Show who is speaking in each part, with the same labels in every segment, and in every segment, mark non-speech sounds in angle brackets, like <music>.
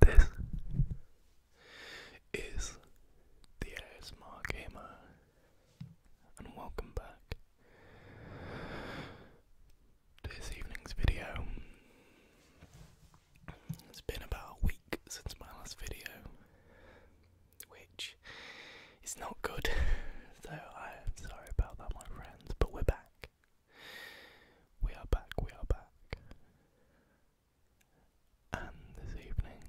Speaker 1: this is the ASMR Gamer, and welcome back to this evening's video. It's been about a week since my last video, which is not good, <laughs> so I'm sorry about that, my friends, but we're back. We are back, we are back. And this evening,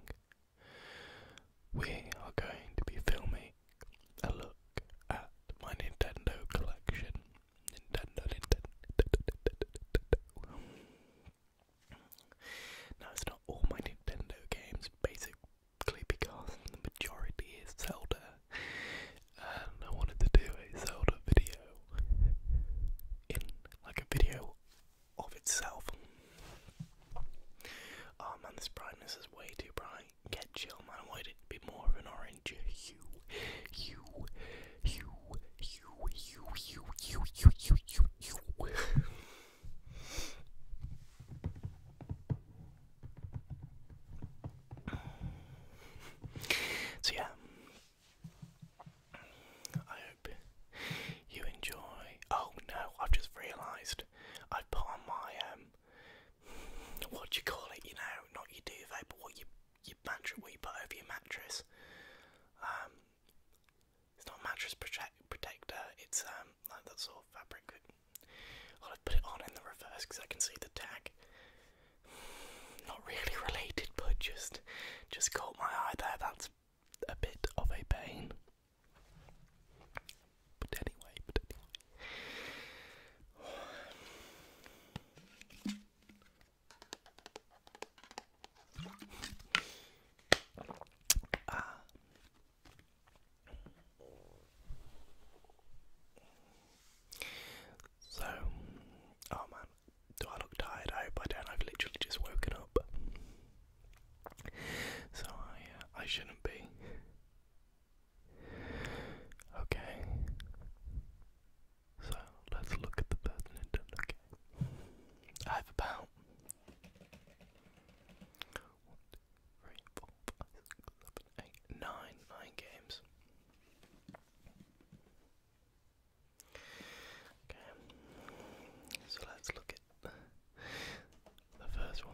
Speaker 1: we are going to be filming a look at my Nintendo collection. Nintendo, Nintendo. Now, it's not all my Nintendo games, basically, because the majority is Zelda and I wanted to do a video in like a video of itself. Oh man, this brightness is way too bright. Get chill, man. I wanted it to be more of an orange hue, hue, hue, hue, hue, hue, hue, hue, hue. hue. So, yeah, I hope you enjoy. Oh no, I've just realised put on my, um, what do you call it, you know, not your duvet, but what you, you put over your mattress. Um, it's not a mattress protector, it's um, like that sort of fabric. I've put it on in the reverse because I can see the tag. <sighs> not really related, but just just caught my eye there. That's a bit of a pain. But anyway, <sighs> ah. So, oh man, do I look tired? I hope I don't. I've literally just woken up. So I, uh, I shouldn't be. Okay. So let's look at the person in I have about one, two, three, four, five, six, seven, eight, nine, nine games. Okay, so let's look at the first one.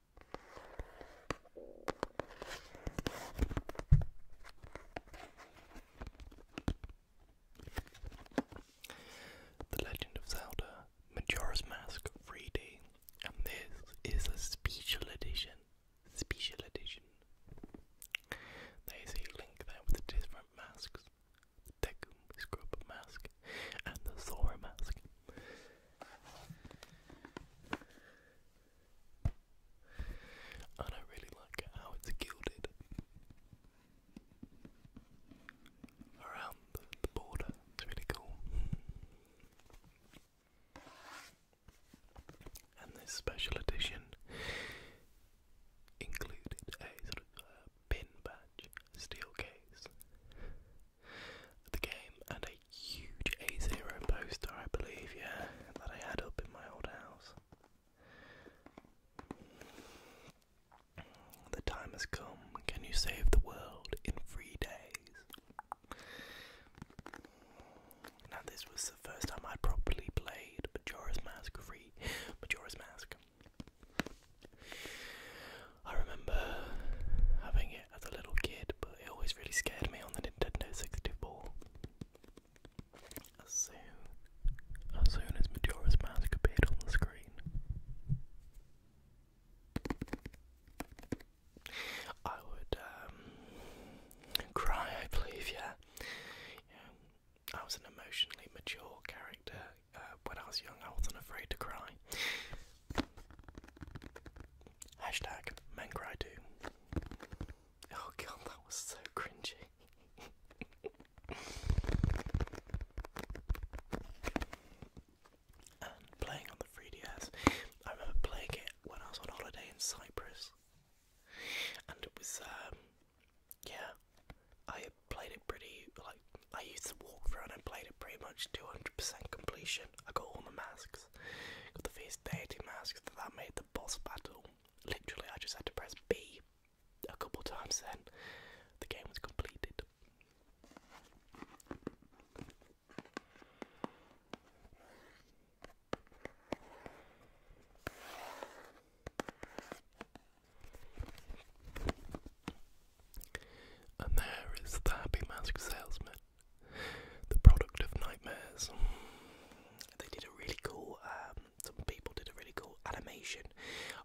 Speaker 1: The Legend of Zelda Majora's Mask 3D, and this is a special edition. Special edition. There's a link there with the different masks the Deku Scrub mask and the Zora mask. I don't really like how it's gilded around the, border. It's really cool. And this special edition included a sort of uh, pin badge steel case the game and a huge A0 poster, I believe, yeah, that I had up in my old house. The time has come. Can you save the world in three days? Now, this was the first time I would properly played Majora's Mask 3. Majora's Mask. I remember having it as a little kid, but it always really scared me on the Nintendo 64. As soon as, soon as Majora's Mask appeared on the screen, I would um, cry, I believe, yeah. I was an emotionally mature character, uh, when I was young, I wasn't afraid to cry. Hashtag Oh god, that was so cringy. <laughs> and playing on the 3DS, I remember playing it when I was on holiday in Cyprus. And it was, um, yeah, played it pretty like I used to walk through and I played it pretty much 200% completion. I got all the masks, got the first deity masks that made the boss battle. Literally, I just had to press B a couple times. Then the game was completed. And there is the happy mask salesman, the product of nightmares. They did a really cool. Um, some people did a really cool animation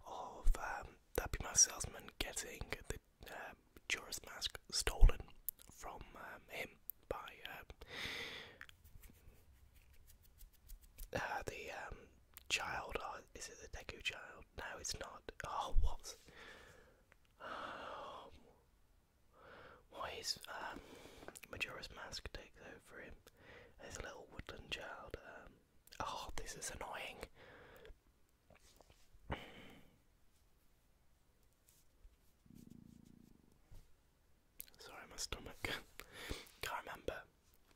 Speaker 1: of um, the happy mask salesman getting the tourist um, mask stolen from him by uh, the child. Uh, is it the Deku child? no, it's not. Oh, what? Um, why is um, Majora's Mask takes over him as a little woodland child? Um, oh, this is annoying. Sorry, my stomach. Can't remember.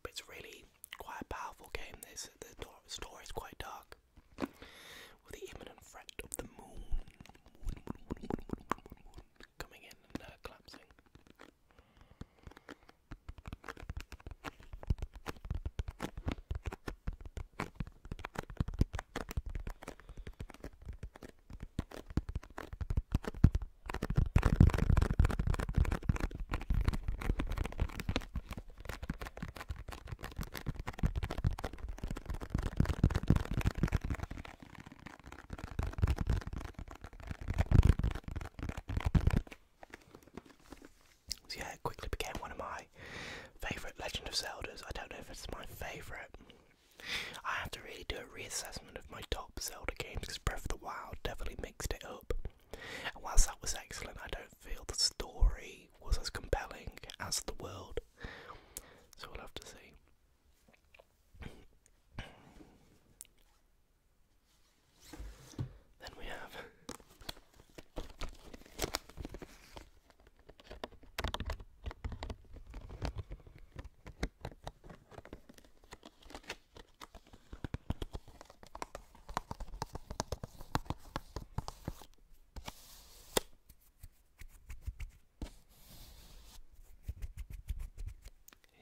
Speaker 1: But it's really quite a powerful game. This the story is quite dark. With the imminent threat of the moon, coming in and uh, collapsing. So yeah, it quickly became one of my favourite Legend of Zeldas. I don't know if it's my favourite. I have to really do a reassessment of my top Zelda games because Breath of the Wild definitely mixed it up whilst that was excellent, I don't feel the story was as compelling as the world. So we'll have to see. Then we have.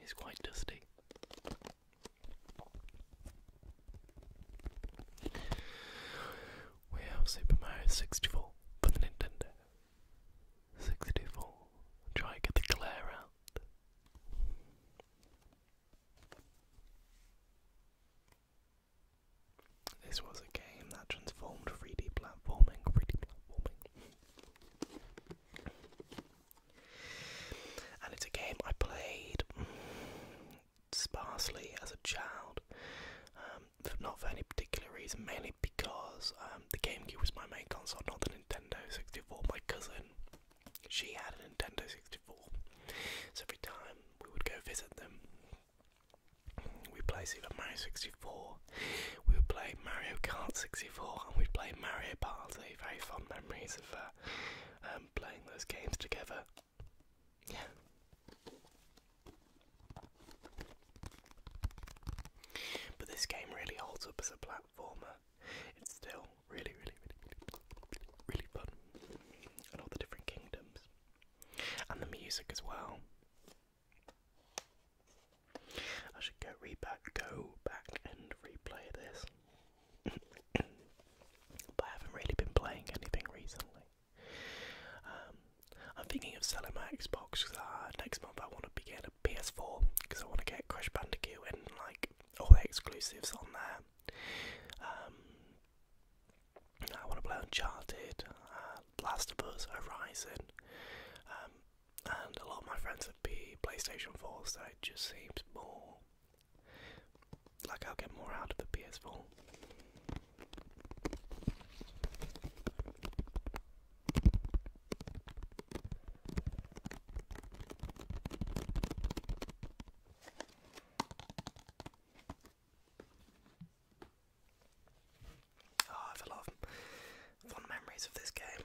Speaker 1: It's quite dusty. We have Super Mario 64 for the Nintendo. 64. Try get the glare out. This was a game that transformed 3D platforming, 3D platforming. And it's a game I played mm, sparsely as a child, um, not for any particular reason, mainly because um, the GameCube was my main console, not the Nintendo 64. My cousin she had a Nintendo 64. So every time we would go visit them, we played Super Mario 64, we would play Mario Kart 64, and we'd play Mario Party. Very fond memories of uh, um, playing those games together. Yeah. But this game really holds up as a platformer. It's still Really, really, really, really, fun. And all the different kingdoms. And the music as well. I should go re go back and replay this. <coughs> but I haven't really been playing anything recently. Um, I'm thinking of selling my Xbox uh, next month I want to be getting a PS4 because I want to get Crash Bandicoot and like all the exclusives on there. Um, I want to play Uncharted, uh, Last of Us, Horizon, um, and a lot of my friends would be PlayStation 4, so it just seems more like I'll get more out of the PS4. Ah, I have a lot of fond memories of this game.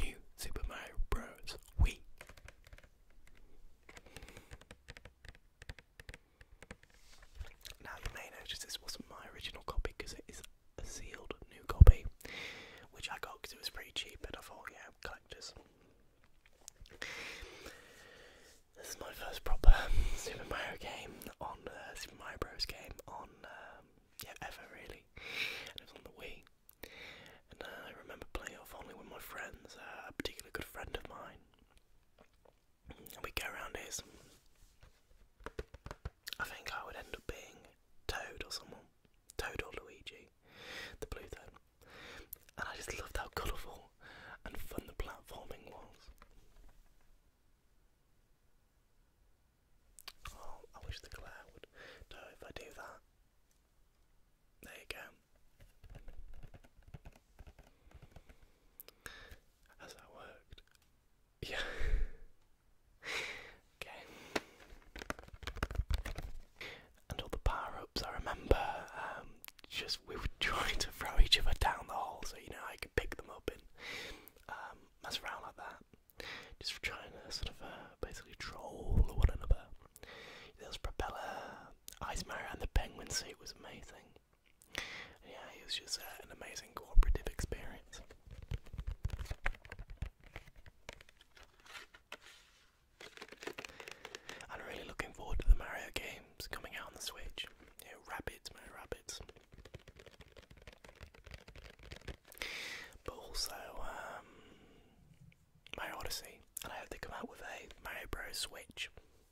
Speaker 1: New Super Mario Bros. Wii. Now you may notice this wasn't my original copy because it is a sealed new copy, which I got because it was pretty cheap and I thought, yeah, collectors. This is my first proper Super Mario game on uh, Super Mario Bros. game on um, yeah ever really, and it on the Wii. And uh, I remember playing it only with my friends, uh, a particularly good friend of mine we go around is I think I would end up being Toad or someone. Toad or Luigi. The blue toad. And I just loved how colourful and fun the platforming was. Oh, I wish the glare would so if I do that. There you go. Has that worked? Yeah. <laughs> okay. And all the power ups, I remember um, just we were <laughs> trying to throw each other down the hole so you know I could pick them up and um, mess around like that. Just trying to sort of uh, basically troll one another. There was Propeller, Ice Mario, and the Penguin suit was amazing. Yeah, it was just uh, an amazing cooperative experience. I'm really looking forward to the Mario games coming out on the Switch. You know, rabbits, man, But also, um, Mario Odyssey, and I hope they come out with a Mario Bros Switch.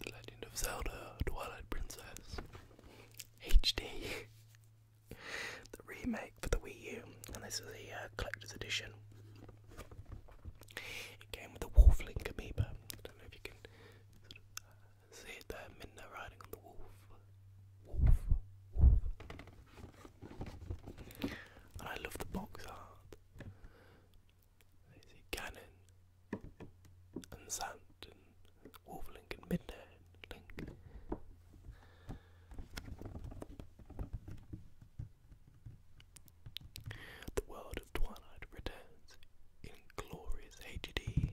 Speaker 1: The Legend of Zelda Twilight Princess HD, <laughs> the remake for the Wii U, and this is the uh, collector's edition. It came with a Wolflink amoeba. I don't know if you can uh, see it there, Minna riding on the wolf. Wolf, wolf. And I love the box art. There's a cannon and Zant and Wolverling and Midnight The world of Twilight returns in glorious HD.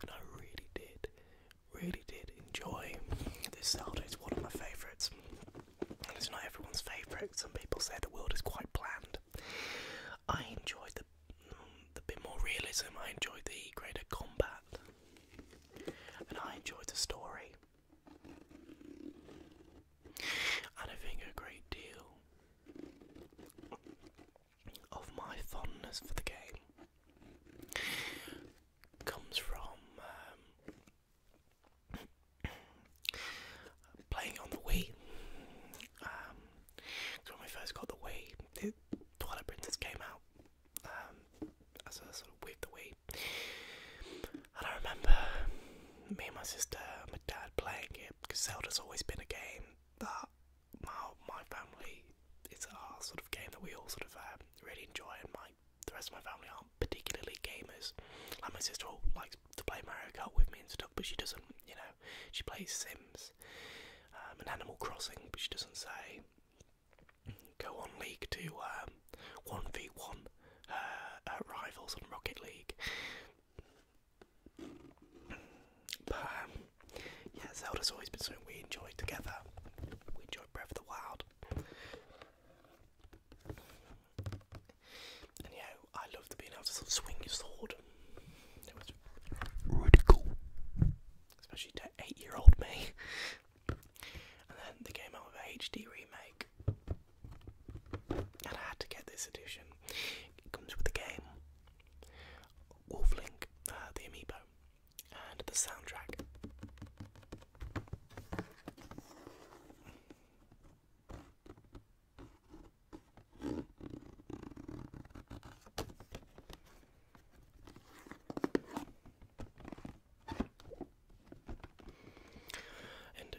Speaker 1: And I really did, really did enjoy this Zelda. It's one of my favourites. It's not everyone's favourite. Some people say the world is quite bland. I enjoyed the bit more realism. I enjoyed the greater combat, and I enjoyed the story. And I think a great deal of my fondness for the game comes from um, <coughs> playing on the Wii um, cause when we first got the Wii, the toilet printers came out um, as a sort of with the Wii, and I remember me and my sister, and my dad playing it because Zelda's always been a game that my my family it's a sort of game that we all sort of um, really enjoy, and my the rest of my family aren't particularly gamers. Like my sister all likes to play Mario Kart with me and stuff, but she doesn't, you know, she plays Sims um, and Animal Crossing, but she doesn't say go on League to 1v1 um, uh, rivals on Rocket League. But um, yeah, Zelda's always been something we enjoyed together. We enjoyed Breath of the Wild. And yeah, I love being able to sort of swing your sword. It especially to eight-year-old me. And then they came out a HD remake, and I had to get this edition. It comes with the game, Wolflink, uh, the amiibo, and the soundtrack. And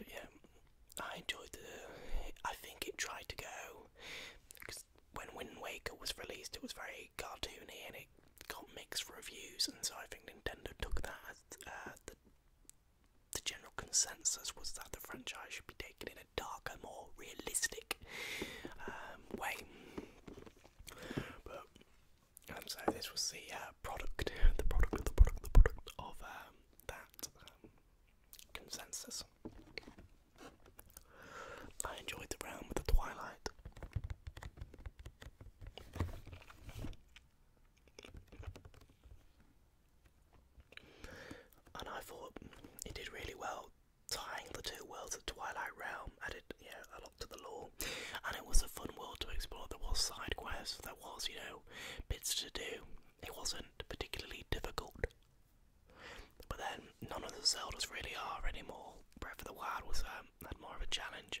Speaker 1: yeah, I enjoyed the. I think it tried to go because when Wind Waker was released, it was very cartoony and it got mixed reviews, and so I think Nintendo took that as uh, the general consensus was that the franchise should be taken in a darker, more realistic um, way. But and um, so this was the uh, product, the product, the product, the product of um, that consensus. I enjoyed the realm of the twilight. And I thought it did really well tying the two worlds of Twilight Realm, added you a lot to the lore. And it was a fun world to explore. There was side quests, there was, you know, bits to do. It wasn't particularly difficult. But then none of the Zeldas really are anymore. Breath of the Wild was um, had more of a challenge.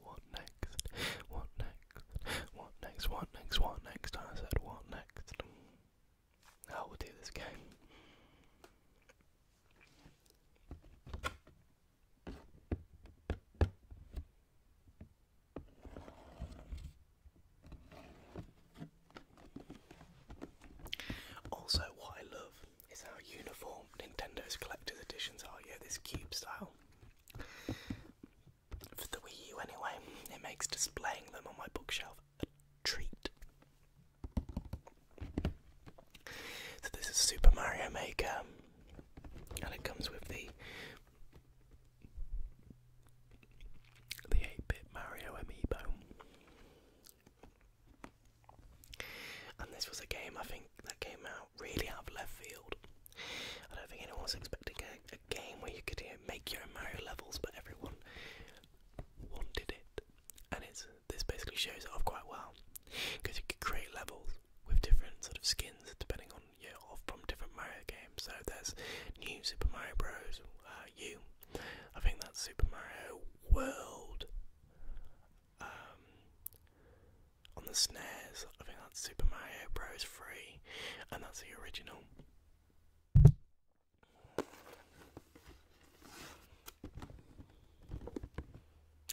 Speaker 1: What next? What next? What next? What next? What next? I said, what next? How will do this game? Also, what I love is how uniform Nintendo's collector's editions are. Yeah, this cube style. For the Wii U, anyway, it makes displaying them on my bookshelf a treat. So, this is Super Mario Maker, and it comes with the the 8-bit Mario Amiibo. And this was a game I think that came out really have left field. I don't think anyone was expecting a, game where you could make your own Mario levels, but everyone wanted it, and it's this basically shows off quite well because you could create levels with different sort of skins depending on you know, off from different Mario games. So there's new Super Mario Bros. Uh, I think that's Super Mario World. Um, on the snares. I think that's Super Mario Bros. 3, and that's the original.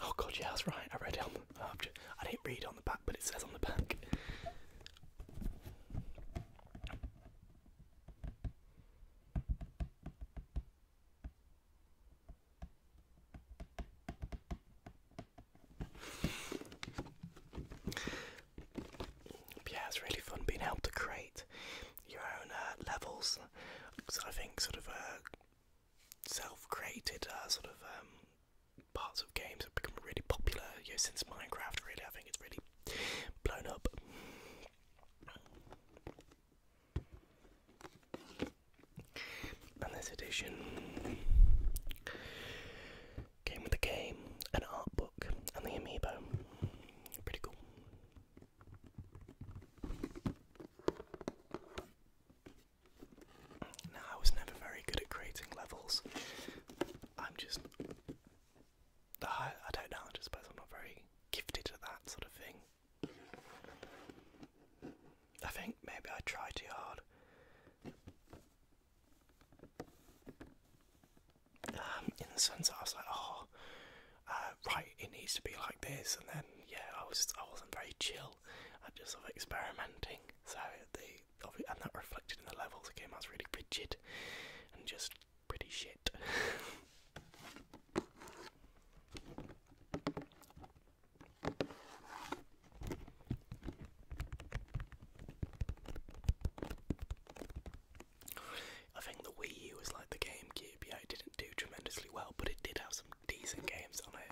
Speaker 1: Oh god, yeah, that's right. I read it on uh, I didn't read it on the back, but it says on the back yeah, it's really fun being able to create your own uh, levels. So I think sort of uh, self-created uh, sort of um, parts of games have become really popular. You know, since Minecraft, really, I think it's really blown up. And this edition came with a game, an art book, and the amiibo. Pretty cool. Now, I was never very good at creating levels. I'm just. I, don't know, I suppose I'm not very gifted at that sort of thing. I think maybe I tried too hard. Um, in the sense that I was like, oh, uh, right, it needs to be like this, and then yeah, I was I wasn't very chill. I just sort experimenting, so they and that reflected in the levels. The game I was really rigid and just pretty shit. <laughs> I think the Wii U was like the GameCube, yeah, it didn't do tremendously well, but it did have some decent games on it.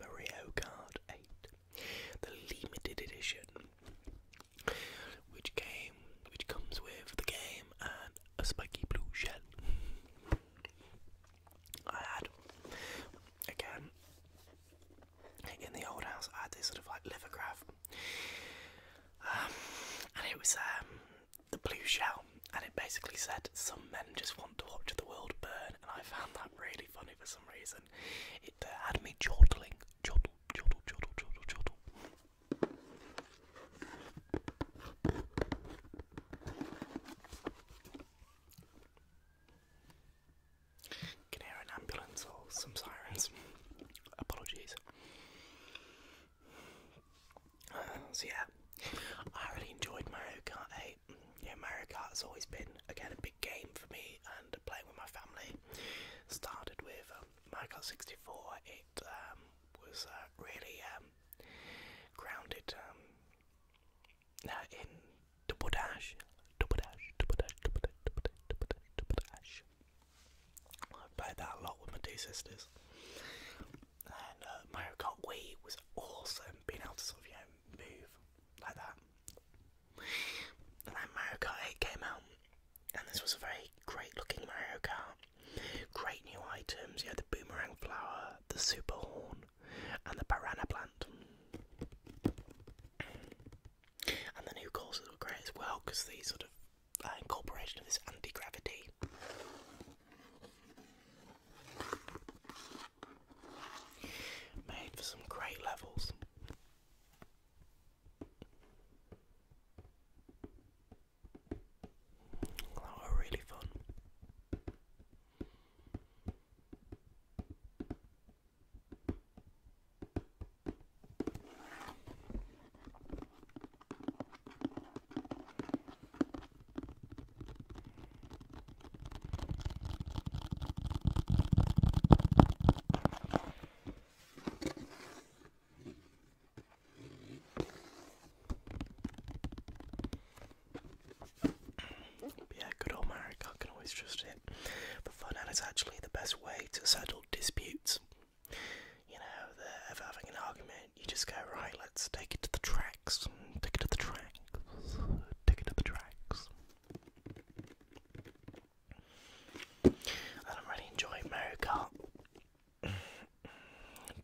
Speaker 1: Mario Kart 8, the limited edition, which came, which comes with the game and a spiky blue shell. I had, again, in the old house, I had this sort of like lithograph, um, and it was um, the blue shell, and it basically said, Some men just want to watch the world burn, and I found that really funny for some reason. It uh, had me chortling. Chortle, chortle, chortle, chortle, chortle. Can hear an ambulance or some sirens. Apologies. <sighs> So yeah, I really enjoyed Mario Kart 8. Yeah, Mario Kart has always been again a big game for me and playing with my family. Started with um, Mario Kart 64. It um, was uh, really um, grounded um, uh, in double dash, double dash, double dash, double dash, double dash, double dash, double dash. I played that a lot with my two sisters and uh, Mario Kart Wii was awesome, being able to sort of you move like that. And then Mario Kart 8 came out, and this was a very great looking Mario Kart. Great new items, you had the boomerang flower, the super horn, and the piranha plant. And the new courses were great as well because these sort of uh, incorporation of this anti-gravity. Made for some great levels. That oh, were really fun yeah, good old marriage, I can always trust it. The fun is actually the best way to settle disputes you know, they're ever having an argument, you just go, right, let's take it to the tracks, take it to the tracks, take it to the tracks. And I'm really enjoying Mario Kart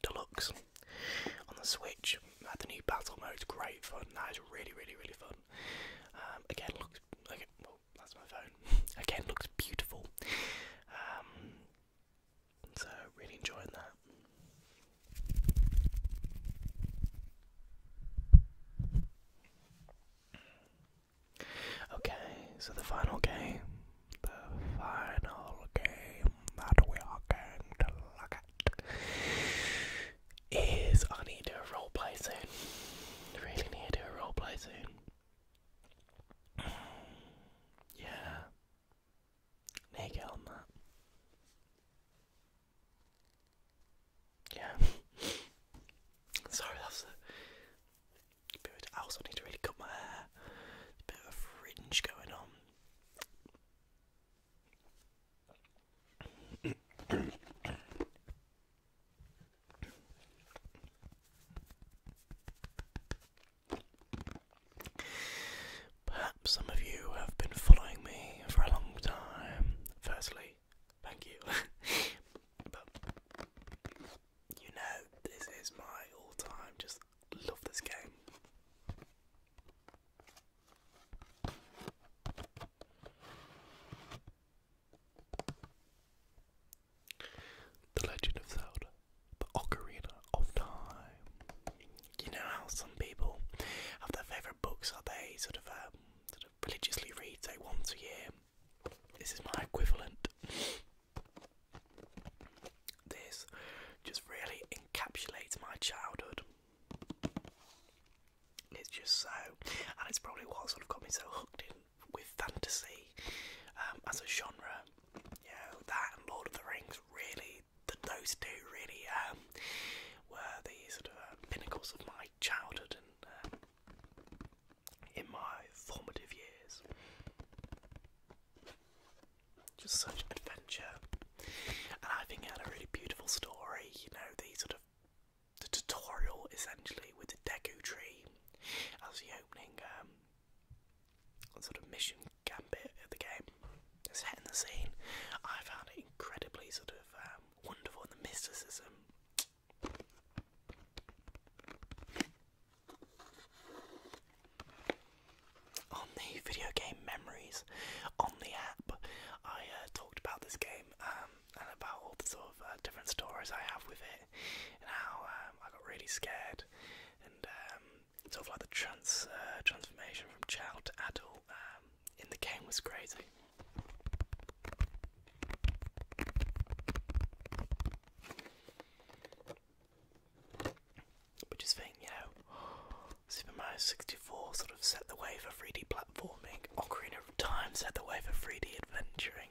Speaker 1: Deluxe on the Switch. had the new battle mode, great fun. That is really, really, really fun. Um, again, looks okay. that's my phone. <laughs> again, looks beautiful. Um, so, really enjoying that. Okay, so the final game, the final game that we are going to look at is I need to do a roleplay soon. Really need to do a roleplay soon. Yeah, Nag on that. Yeah. <laughs> Sorry, that's a bit. I also need to really cut my hair. A bit of fringe going on. Perhaps some of you have been following me for a long time. Firstly, thank you. <laughs> but you know, this is my all time, just love this game. The Legend of Zelda, The Ocarina of Time. You know how some people have their favourite books that they sort of, um, sort of religiously read, say, once a year? This is my equivalent. This just really encapsulates my childhood. It's just so, and it's probably what sort of got me so hooked in with fantasy um, as a genre yeah, that and Lord of the Rings really, those two really um, were the sort of uh, pinnacles of my childhood and uh, in my formative years. Just such adventure, and I think it had a really beautiful story. You know, the sort of the tutorial essentially with the Deku tree as the opening um, sort of mission gambit of the game. It's hitting the scene. I found it incredibly sort of um, wonderful in the mysticism. On the video game memories on the app, I uh, talked about this game um, and about all the sort of uh, different stories I have with it and how um, I got really scared and um, sort of like the trans uh, transformation from child to adult um, in the game was crazy. But just think, you <gasps> Super Mario 64 sort of set the wave for 3D platforming, Ocarina of Time set the wave for 3D adventuring.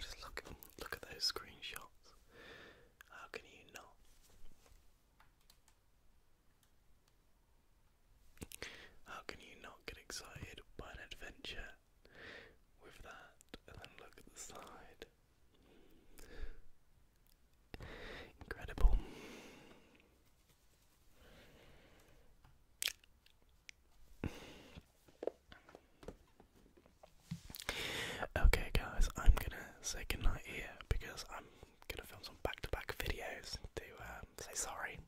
Speaker 1: just look, look at those screenshots. How can you not? How can you not get excited by an adventure with that? And then look at the side. Incredible. Okay, guys, I'm gonna say goodnight here because I'm gonna film some back to back videos to um, say sorry.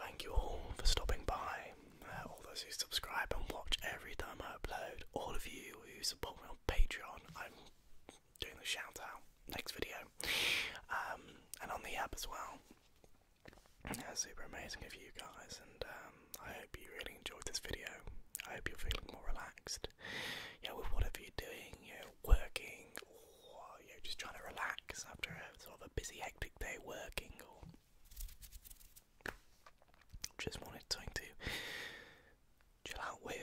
Speaker 1: Thank you all for stopping by. Uh, all those who subscribe and watch every time I upload, all of you who support me on Patreon, I'm doing the shout out next video, um, and on the app as well. Yeah, super amazing of you guys, and um, I hope you really enjoyed this video. I hope you're feeling more relaxed. Yeah, with whatever you're doing, you are working, or you are just trying to relax after a sort of a busy, hectic day working, or just wanted time to chill out with,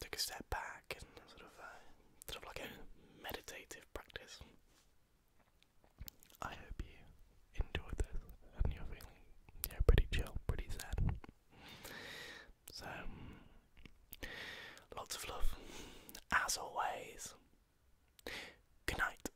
Speaker 1: take a step back, and sort of, uh, sort of like a meditative practice. I hope you enjoyed this and you're feeling yeah pretty chill, pretty sad. So lots of love, as always. Good night.